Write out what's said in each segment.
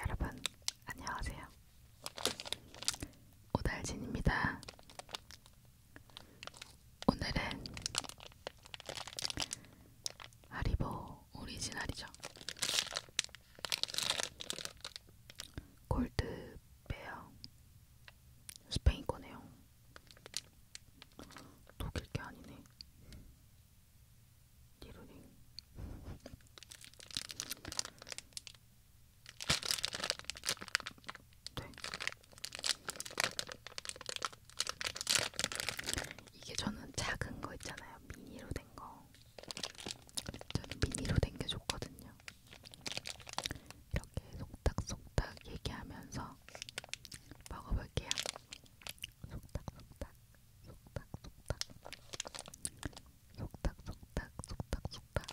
여러분 안녕하세요. 오달진입니다. 오늘은 하리보 오리지널이죠. 골드베어 스페인 거네요. 독일 게 아니네. 디로링. 네. 이게 저는 작은 거 있잖아요. 미니로 된 거. 저는 미니로 당겨줬거든요. 이렇게 속닥속닥 얘기하면서 먹어볼게요. 속닥속닥, 속닥속닥, 속닥속닥, 속닥속닥.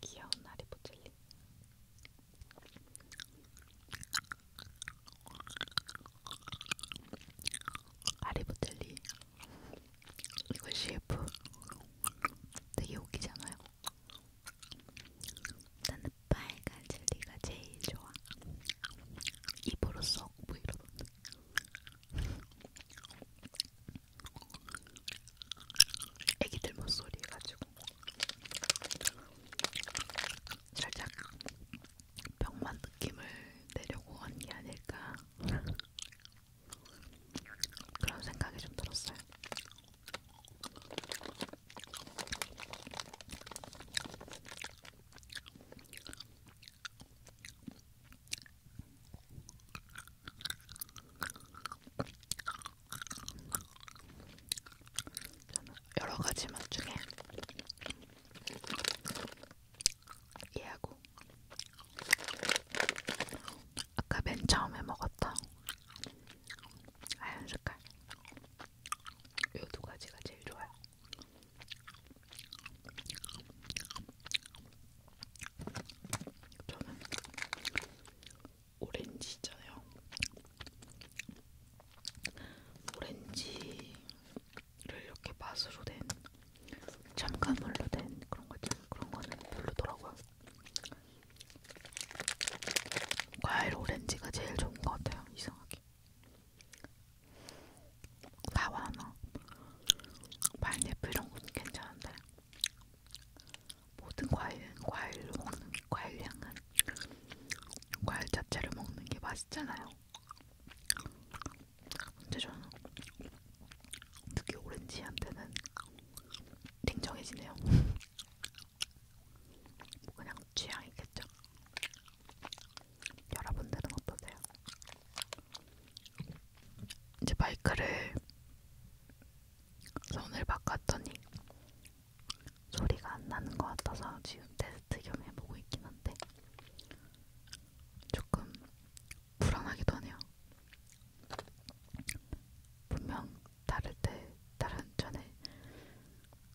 귀여운 하리보 젤리. 하리보 젤리. 이거 CF 되게 웃기잖아요. 나는 빨간 젤리가 제일 좋아. 입으로 썩뭐 이러던데. 애기들 목소리 해가지고 살짝 병맛 느낌을 내려고 한 게 아닐까 그런 생각이 좀 들었어요. 저는 여러 가지 맛 중에 얘하고 아까 맨 처음에 먹었던 하얀 색깔 요두 가지가 제일 좋아요. 저는 오렌지 있잖아요. 오렌지를 이렇게 맛으로 된 첨가물로 된 그런 거 있잖아요. 그런 거는 별로더라고요. 과일 오렌지가 제일 좋은 것 같아요. 이상하게. 사과나 파인애플 이런 것도 괜찮은데 모든 과일은 과일로 먹는 게 과일 향은 과일 자체를 먹는 게 맛있잖아요. 근데 저는 특히 오렌지한테는 냉정해지네요. 뭐 그냥 취향이겠죠. 여러분들은 어떠세요? 이제 마이크를 손을 바꿨더니 소리가 안 나는 것 같아서 지금 테스트 겸 해보고 있긴 한데 조금 불안하기도 하네요. 분명 다를 때 다른 전에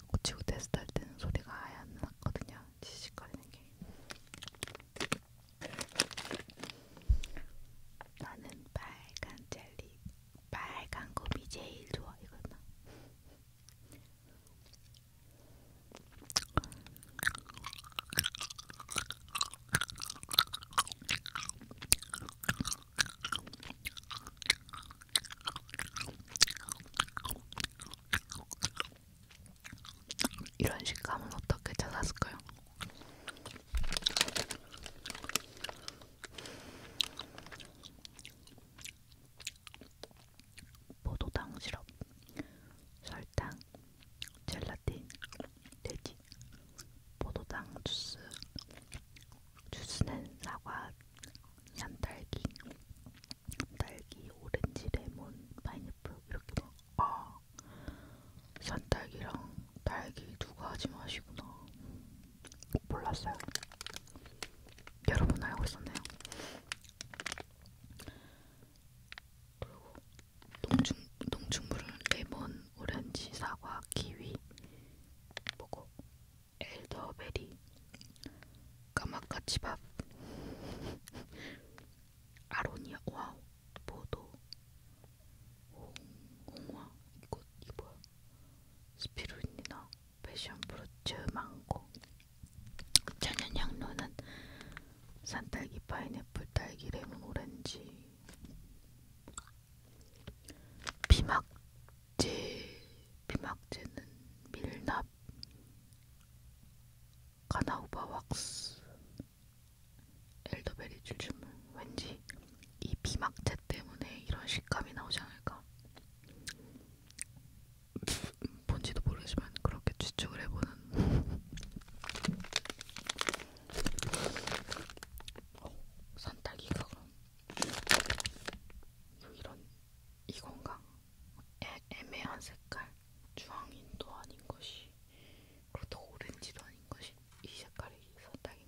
고치고 테스트할 때는 소리가 아예 안 났거든요. 지식거리는 게. 나는 빨간 젤리, 빨간 곰이 제일 좋아 이거나. 이런 식감은 어떻게 찾았을까요? 포도당 시럽, 설탕, 젤라틴, 돼지, 포도당 주스, 주스는 사과, 산딸기, 딸기, 오렌지, 레몬, 파인 잎을 이렇게 막, 아, 산딸기랑 딸기 두고 하지 마시구나. 몰랐어요. 여러분 알고 있었네요. 그리고 농축, 농축물은 레몬, 오렌지, 사과, 키위, 뭐고, 엘더베리, 까마까치밥, 아로니아 와우 보도 홍, 홍화 이거 이 뭐야 스피루니나 패션 브로츠 망고 천연향로는 산딸기 파인애플 딸기 레몬 오렌지 비막제 비막제는 밀납 가나우바 왁스 엘더베리 줄주물 왠지 이 비막제 때문에 이런 식감이 나오지 않을까 뭔지도 모르지만 그렇게 추측을 해보는 어, 산딸기가 그럼 이런 이건가? 애, 애매한 색깔 주황인도 아닌 것이 그렇다고 오렌지도 아닌 것이 이 색깔이 선딱인가요?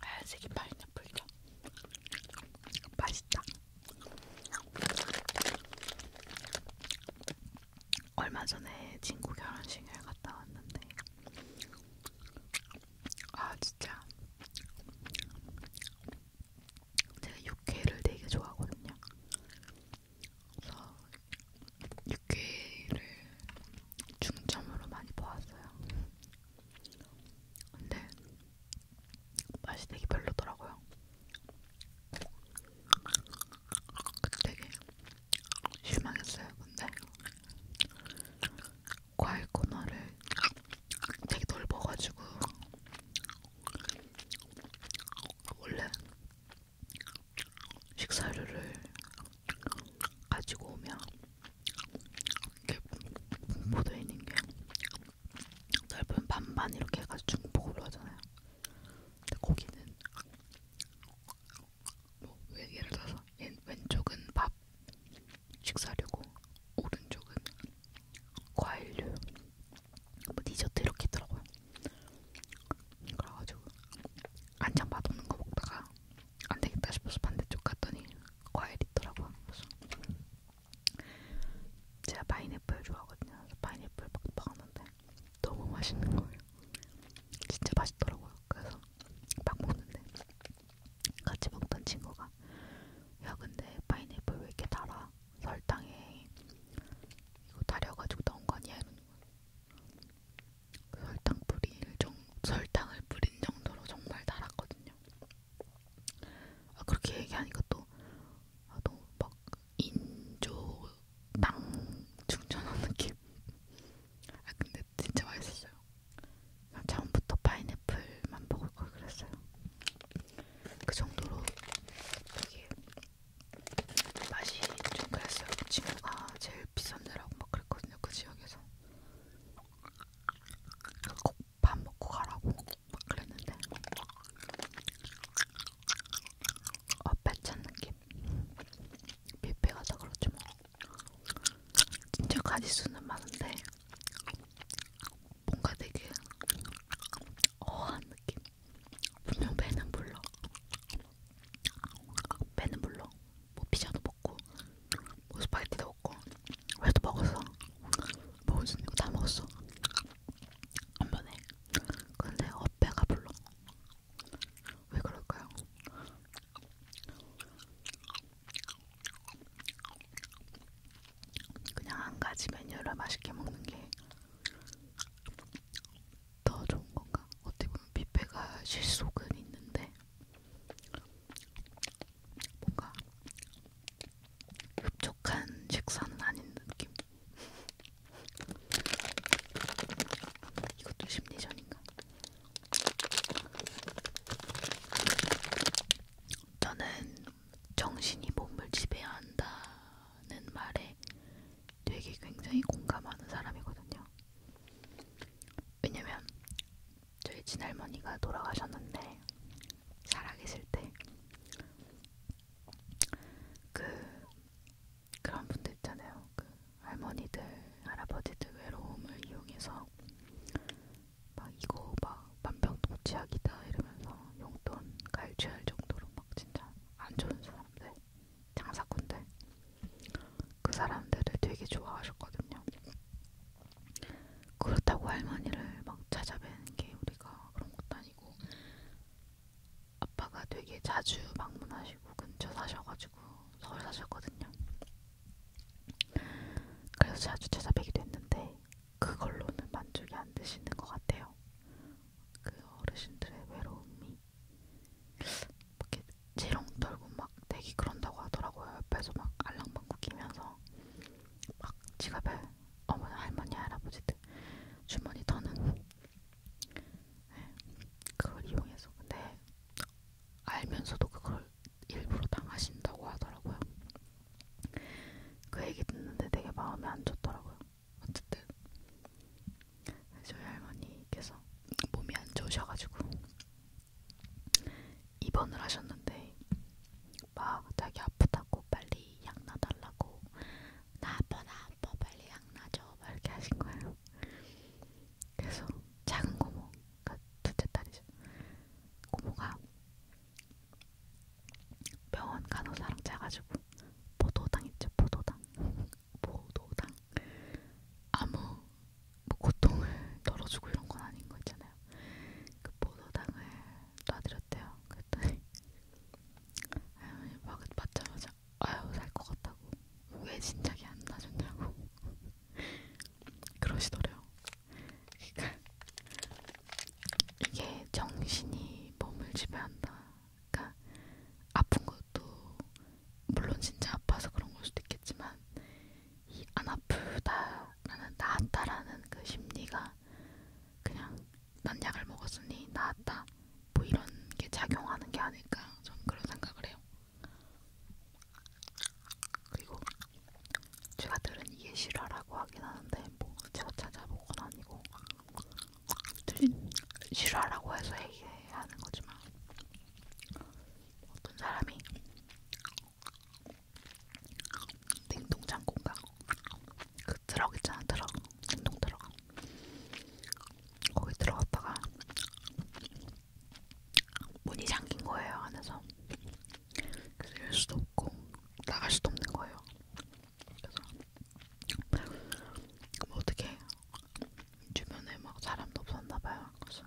하얀색이 파인애플이죠. 맛있다. 얼마 전에 친구 결혼식을 갔다 왔는데 아 진짜 제가 육회를 되게 좋아하거든요. 그래서 육회를 중점으로 많이 보았어요. 근데 맛이 되게 별로더라고요. 되게 실망했어요. 근데 과일 코너를 되게 넓어가지고 원래 식사류를 가지고 오면 이렇게 분포되어 있는 게 넓은 반반 이렇게 해가지고 중복으로 하잖아요. 근데 거기는 뭐 예를 들어서 왼쪽은 밥 식사류고 오른쪽은 과일류 뭐 디저트 이렇게 있더라고요. 그래가지고 안장 맛없는 거 먹다가 안 되겠다 싶어서 반대쪽 갔더니 과일 있더라고요. 그래서 제가 파인애플 좋아하거든요. 그래서 파인애플 막 먹었는데 너무 맛있는 거예요. 진짜 맛있더라고요. 그래서 막 먹는데 같이 먹던 친구가 야 근데 파인애플 왜 이렇게 달아? 설탕에 이거 달여가지고 넣은 거 아니야? 이러는 거예요. 설탕 뿌릴 정 설탕을 뿌린 정도로 정말 달았거든요. 아, 그렇게 얘기하니까 또 아, 너무 막 인조 땅 충전한 느낌. 아 근데 진짜 맛있었어요. 처음부터 파인애플만 먹을 걸 그랬어요. 그 정도로 되게 맛이 좀 그랬어요. 그 친구가 아, 제일 비싼데라고 막 그랬거든요. 그 지역에서. 밥 먹고 가라고 막 그랬는데 어, 배찬 느낌 뷔페가 다 그렇지 뭐 진짜 가지수는 많은데 뭔가 되게 어한 느낌 분명 배는 불러 배는 물론 뭐 피자도 먹고 뭐 스파게티도 먹고 회도 먹었어 먹었어 뭐 이거 다 먹었어 한 번에 근데 어 배가 불러 왜 그럴까요? 그냥 한 가지 메뉴를 맛있게 먹는 게 더 좋은 건가? 어떻게 보면 뷔페가 실속은 있는데 뭔가 흡족한 식사는 아닌 느낌. 이것도 심리전인가? 저는 정신이 몸을 지배한다는 말에 되게 굉장히 공감하는 사람이거든요. 왜냐면 저희 친할머니가 돌아가셨는데 살아계실 때 그, 그런 분들 있잖아요. 그 할머니들, 할아버지들 외로움을 이용해서 막 이거 막 만병통치약이다 이러면서 용돈 갈취할 정도로 막 진짜 안 좋은 사람들, 장사꾼들 그 사람들을 되게 좋아하셨거든요. 그렇다고 할머니를 막 찾아뵈는 게 우리가 그런 것도 아니고 아빠가 되게 자주 방문하시고 근처 사셔가지고 서울 사셨거든요. 그래서 자주 찾아뵈기도 했는데 그걸로는 만족이 안 되시는 것 같아요. 그 어르신들의 외로움이 이렇게 지렁 떨고 막 되게 그런다고 하더라고요. 옆에서 막 알랑방구 끼면서 막 지갑에 어머니, 할머니, 할아버지들 주머니 터는 네, 그걸 이용해서 근데 알면서도 그걸 일부러 당하신다고 하더라고요. 그 얘기 듣는데 되게 마음에 안 좋더라고요. 어쨌든 저희 할머니께서 몸이 안 좋으셔가지고 입원을 하셨는데 막 자기 아프다고 빨리 약 놔달라고 나 아파 나 아파 빨리 약 놔줘 막 이렇게 하신 거예요. 그래서 작은 고모, 그러니까 둘째 딸이죠. 고모가 병원 간호사랑 자가지고 보도당했죠 보도당 보도당 아무 뭐 고통을 덜어주고 이런 건 아닌 거 있잖아요. 그 보도당을 놔드렸대요. 그랬더니 할머니 막 맞자마자 아유 살 것 같다고 왜 진작에 안 놔줬냐고 그러시더래요. 그러니까 이게 정신이 몸을 지배한다 그러니까 아픈 것도 물론 진짜 아파서 그런 걸 수도 있겠지만 이 안 아프다 나는 나았다라는 그 심리가 그냥 난 약을 먹었으니 나았다 뭐 이런 게 작용하는 게 아닐까 전 그런 생각을 해요. 그리고 제가 들은 이게 실화라고 하긴 하는데 뭐 제가 찾아본 건 아니고 싫어라고 해서 얘기하는 거지만 어떤 사람이 냉동장 공간 그 트럭 있잖아 트럭 냉동 트럭 거기 들어갔다가 문이 잠긴 거예요 안에서 그래서 열 수도 없고 나갈 수도 없는 거예요 그래서 뭐 어떻게 주변에 막 사람도 없었나봐요. 그래서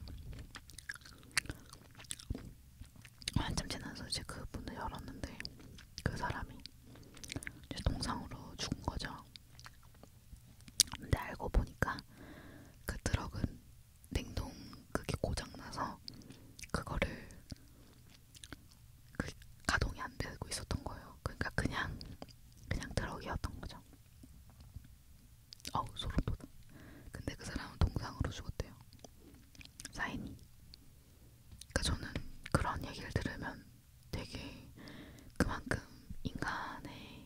한참 지나서 이제 그 문을 열었는데 그 사람이 이제 동상으로 죽은 거죠. 근데 알고 보니까 그 트럭은 냉동 그게 고장나서 그거를 그 가동이 안 되고 있었던 거예요. 그러니까 그냥 그냥 트럭이었던 거죠. 어우 소름돋아. 근데 그 사람은 동상으로 죽었대요. 사인이. 그러니까 저는 그런 얘기를 들으면 되게 그만큼 인간의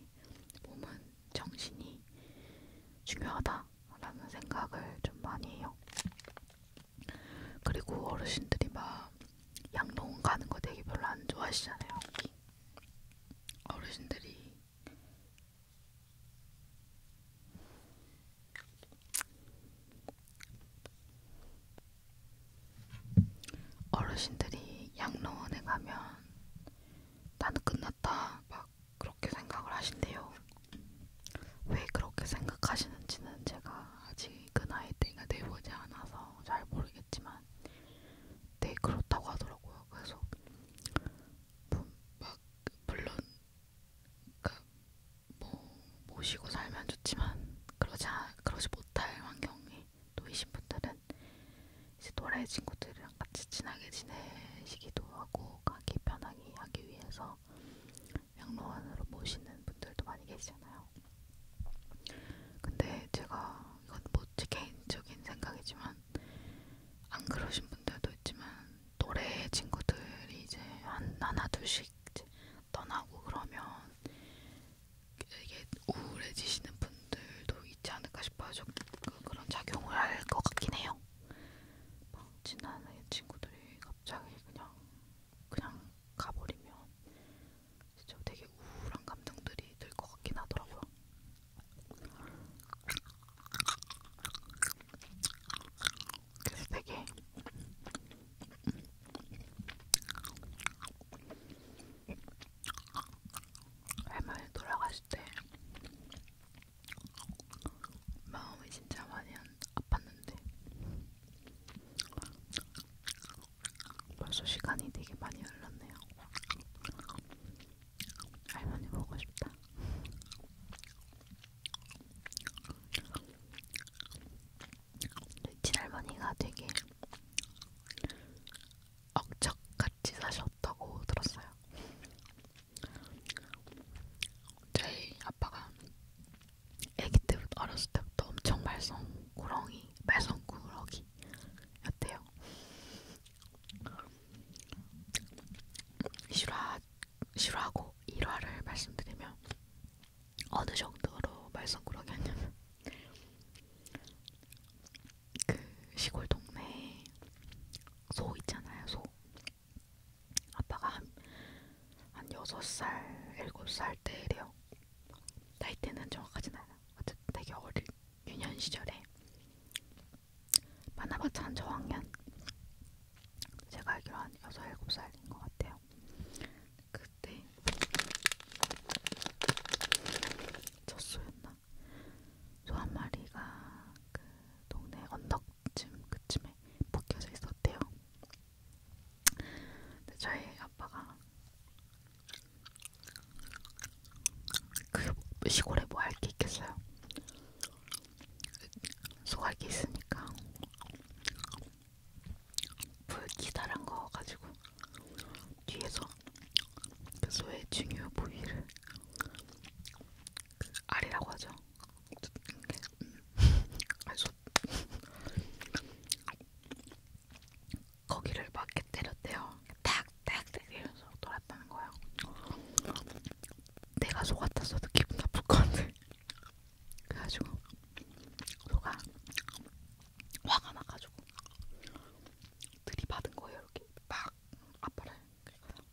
몸은 정신이 중요하다라는 생각을 좀 많이 해요. 그리고 어르신들이 막 양로원 가는 거 되게 별로 안 좋아하시잖아요. 어르신들이 어르신들이 양로원에 가면 나는 끝났다 막 그렇게 생각을 하신대요. 왜 그렇게 생각하시는지는 제가 아직 그 나이 때가 돼보지 않아서 잘 모르겠지만 되게 네, 그렇다고 하더라고요. 그래서 뭐 막 물론 그러니까 뭐 모시고 살면 좋지만 그러지 않, 그러지 못할 환경이 놓이신 분들은 이제 또래 친구들이랑 같이 친하게 지내시기도 하고 가기 편하게 하기 위해서. 양로원으로 모시는 분들도 많이 계시잖아요. 근데 제가 이건 뭐지 개인적인 생각이지만 안 그러신 분들도 있지만 노래 친구들이 이제 한 하나 둘씩 떠나고 그러면 이게 우울해지시는 분들도 있지 않을까 싶어요. 좀 그, 그런 작용을 할 것 같긴 해요. 막 뭐 지나는 친구들이 갑자기 그냥 그냥 가버리면 진짜 되게 우울한 감정들이 들 것 같긴 하더라고요. 그래서 되게 할머니 돌아가실 때 마음이 진짜 많이 아팠는데 벌써 시간이 되게 많이 흘렀네요. 할머니 보고 싶다. 친할머니가 되게 억척같이 사셨다고 들었어요. 저희 아빠가 애기 때부터 어렸을 때부터 엄청 말썽꾸러기, 말썽꾸러기였대요. 실화, 실화고 일화를 말씀드리면 어느 정도로 말썽꾸러기였냐면 그 시골 동네에 소 있잖아요, 소. 아빠가 한, 한 6살, 7살 때래요. 나이때는 정확하진 않아. 어쨌든 되게 어릴 유년 시절에 만화봤자 한 저학년? 제가 알기로 한 6, 7살인 것 같아요. 그때 젖소였나? 소 한 마리가 그 동네 언덕쯤 그쯤에 묶여져 있었대요. 근데 저희 아빠가 그 시골에 뭐 할 게 있겠어요? 소갈게 있으니까 불기다란 거 가지고 뒤에서 그 소의 중요 부위를 그 알이라고 하죠. 음. 아니, 소 거기를 막게 때렸대요. 탁탁탁 이러면서 돌았다는 거예요. 내가 소 같았어도 기분 나쁠 건데. 그래가지고 소가 화가 나가지고 들이받은 거예요. 이렇게 막 아빠를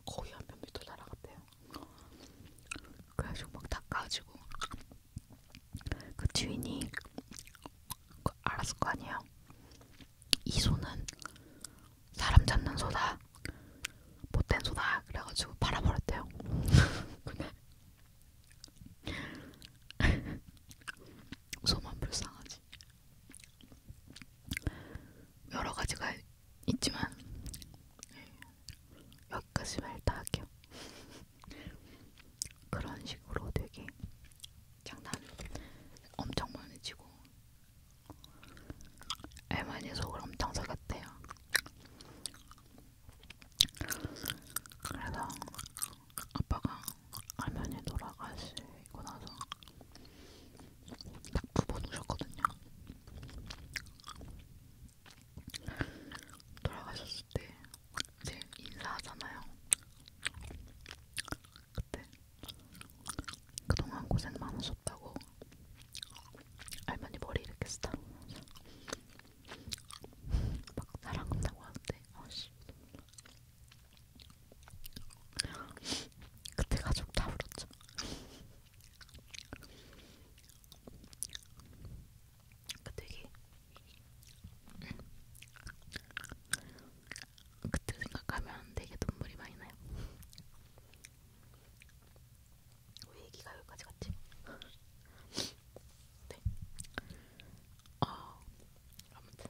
거의 한몇 미터 날아갔대요. 그래가지고 막 닦아지고 그 주인이 그 알았을 거 아니에요. 이 소는 사람 잡는 소다, 못된 소다. 그래가지고 팔아버렸대요. 근데 소만 불쌍하지. 여러 가지가 있지만 예, 여기까지만 일단 할게요. 그런 식으로 되게 장난 엄청 많이 치고 애만이 속을 엄청 썩였대요. 그래서 아빠가 할머니 돌아가시고 나서 딱 부분 오셨거든요. 돌아가셨을 때 이제 인사하잖아요. 그때 그동안 고생 많으셨다고 할머니 머리 이렇게 쓰다 막 사랑 한다고 하는데 아씨 그때 가족 다 울었죠. 그러니까 되게 그때 생각하면 되게 눈물이 많이 나요. 왜 얘기가 여기까지 갔지? 네. 아 아무튼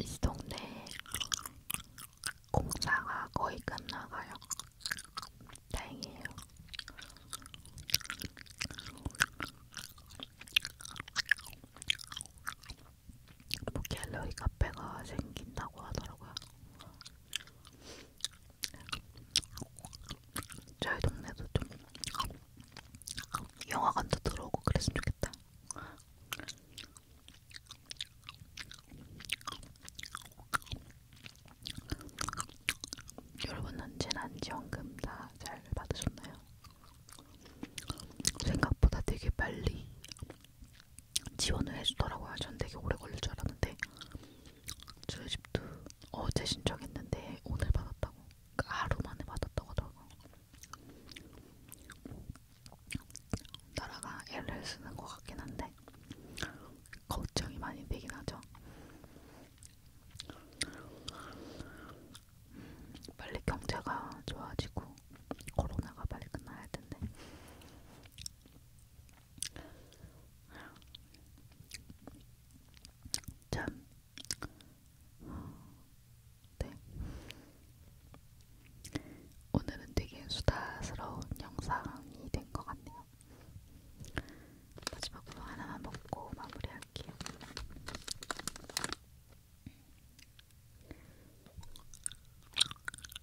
이 동네 공사가 거의 끝나가요. 다행이에요. 뭐 갤러리 카페가 생긴다고 하더라고요. 저희 동네도 좀 영화관도 들어오고 그랬으면 좋겠다. 여러분은 재난지원금 다 잘 받으셨나요? 생각보다 되게 빨리 지원을 해주더라고요. 전 되게 오래 걸릴 줄 알았는데 저희 집도 어제 신청했는데 오늘 받았다고 그러니까 하루 만에 받았다고 하더라고 나라가 L을 쓰는 것 같긴 한데 걱정이 많이 되긴 하죠 음, 빨리 경제가 좋아지고 코로나가 빨리 끝나야 할 텐데 참, 네. 오늘은 되게 수다스러운 영상이 된 것 같네요. 마지막으로 하나만 먹고 마무리할게요.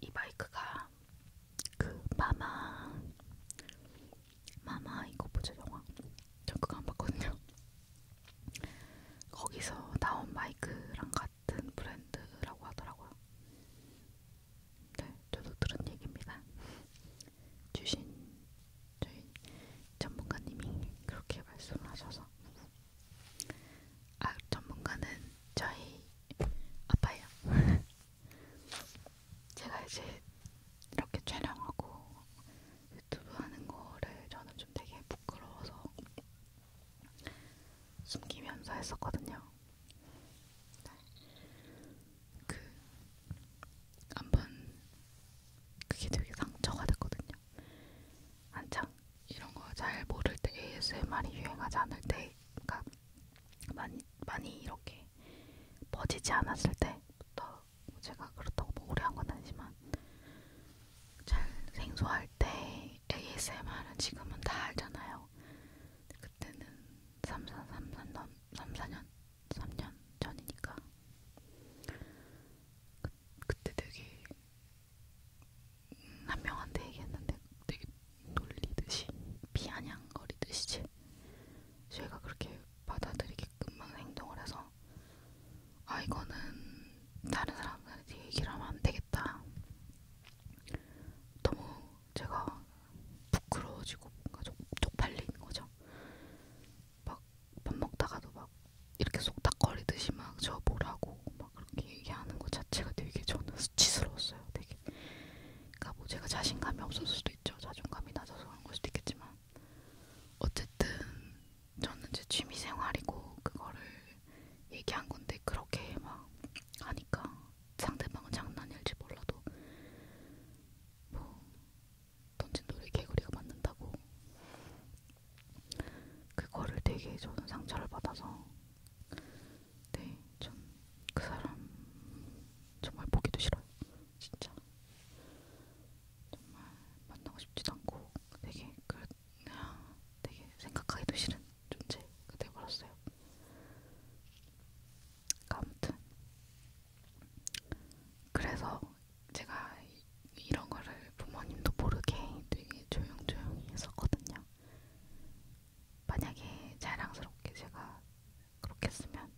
이 마이크가 그 마마 마마 이거 보죠 영화 전 그거 안 봤거든요 거기서 나온 마이크랑 같은 브랜드라고 하더라고요 네 저도 들은 얘기입니다 주신 저희 전문가님이 그렇게 말씀하셔서 아 전문가는 저희 아빠예요. 제가 이제 이렇게 촬영하고 유튜브 하는 거를 저는 좀 되게 부끄러워서 숨기면서 했었거든요. 네. 그 한번 그게 되게 상처가 됐거든요. 한창 이런 거 잘 모를 때 ASMR이 유행하지 않을 때, 그러니까 많이 많이 이렇게 퍼지지 않았을 때부터 제가 그렇다고 뭐 오래 한건 아니지만 잘 생소할 때 ASMR은 지금은 다 알잖아요. 그때는 3, 4, 3, 4, 3, 4년 3년 전이니까 그, 그때 되게 한 명한테 얘기했는데 되게 놀리듯이 비아냥거리듯이 제 제가 그렇게 받아들이게끔만 행동을 해서 아 이거는 다른 사람들한테 얘기를 하면 안 되겠다. 너무 제가 부끄러워지고 뭔가 좀 쪽팔리는 거죠. 막 밥 먹다가도 막 이렇게 속닥거리듯이 막저 뭐라고 막 그렇게 얘기하는 것 자체가 되게 저는 수치스러웠어요. 되게. 그러니까 뭐 제가 자신감이 없을 수도 있죠. 자존감이 낮아서 그런 걸 수도 있겠지만 어쨌든 저는 제 취미 생활이고 그거를 얘기한 건데 그렇게 막 하니까 상대방은 장난일지 몰라도 뭐 던진 돌에 개구리가 맞는다고. 그거를 되게 저는 상처를 받아서 네, 전 그 사람 정말 보기도 싫어요. 진짜 정말 만나고 싶지도 않고 되게 그 되게 생각하기도 싫은 존재가 되어버렸어요. 아무튼 그래서 제가 이런 거를 부모님도 모르게 되게 조용조용히 했었거든요. 만약에 자랑스럽게 제가 그렇게 했으면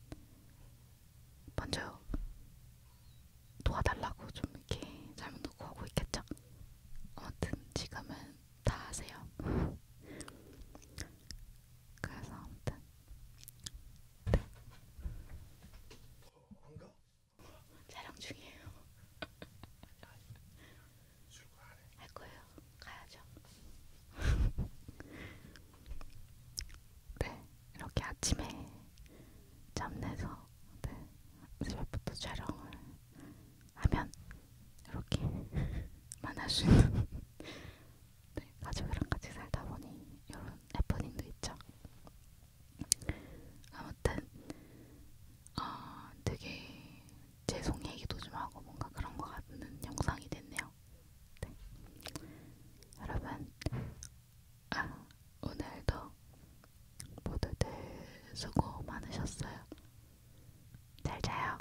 먼저 도와달라고 좀 이렇게 잘못도 구하고 있겠죠. 아무튼 지금은 다 아세요. 그래서 아무튼 네. 어, 촬영 중이에요. 할 거예요. 가야죠. 네, 이렇게 아침에 잠내서 네, 새벽부터 촬영을 하면 이렇게 만날 수 있는 네, 가족이랑 같이 살다 보니 이런 해프닝도 있죠. 아무튼 어, 되게 죄송 얘기도 좀 하고 뭔가 그런 것 같은 영상이 됐네요. 네. 여러분 아, 오늘도 모두들 수고 많으셨어요. 잘 자요.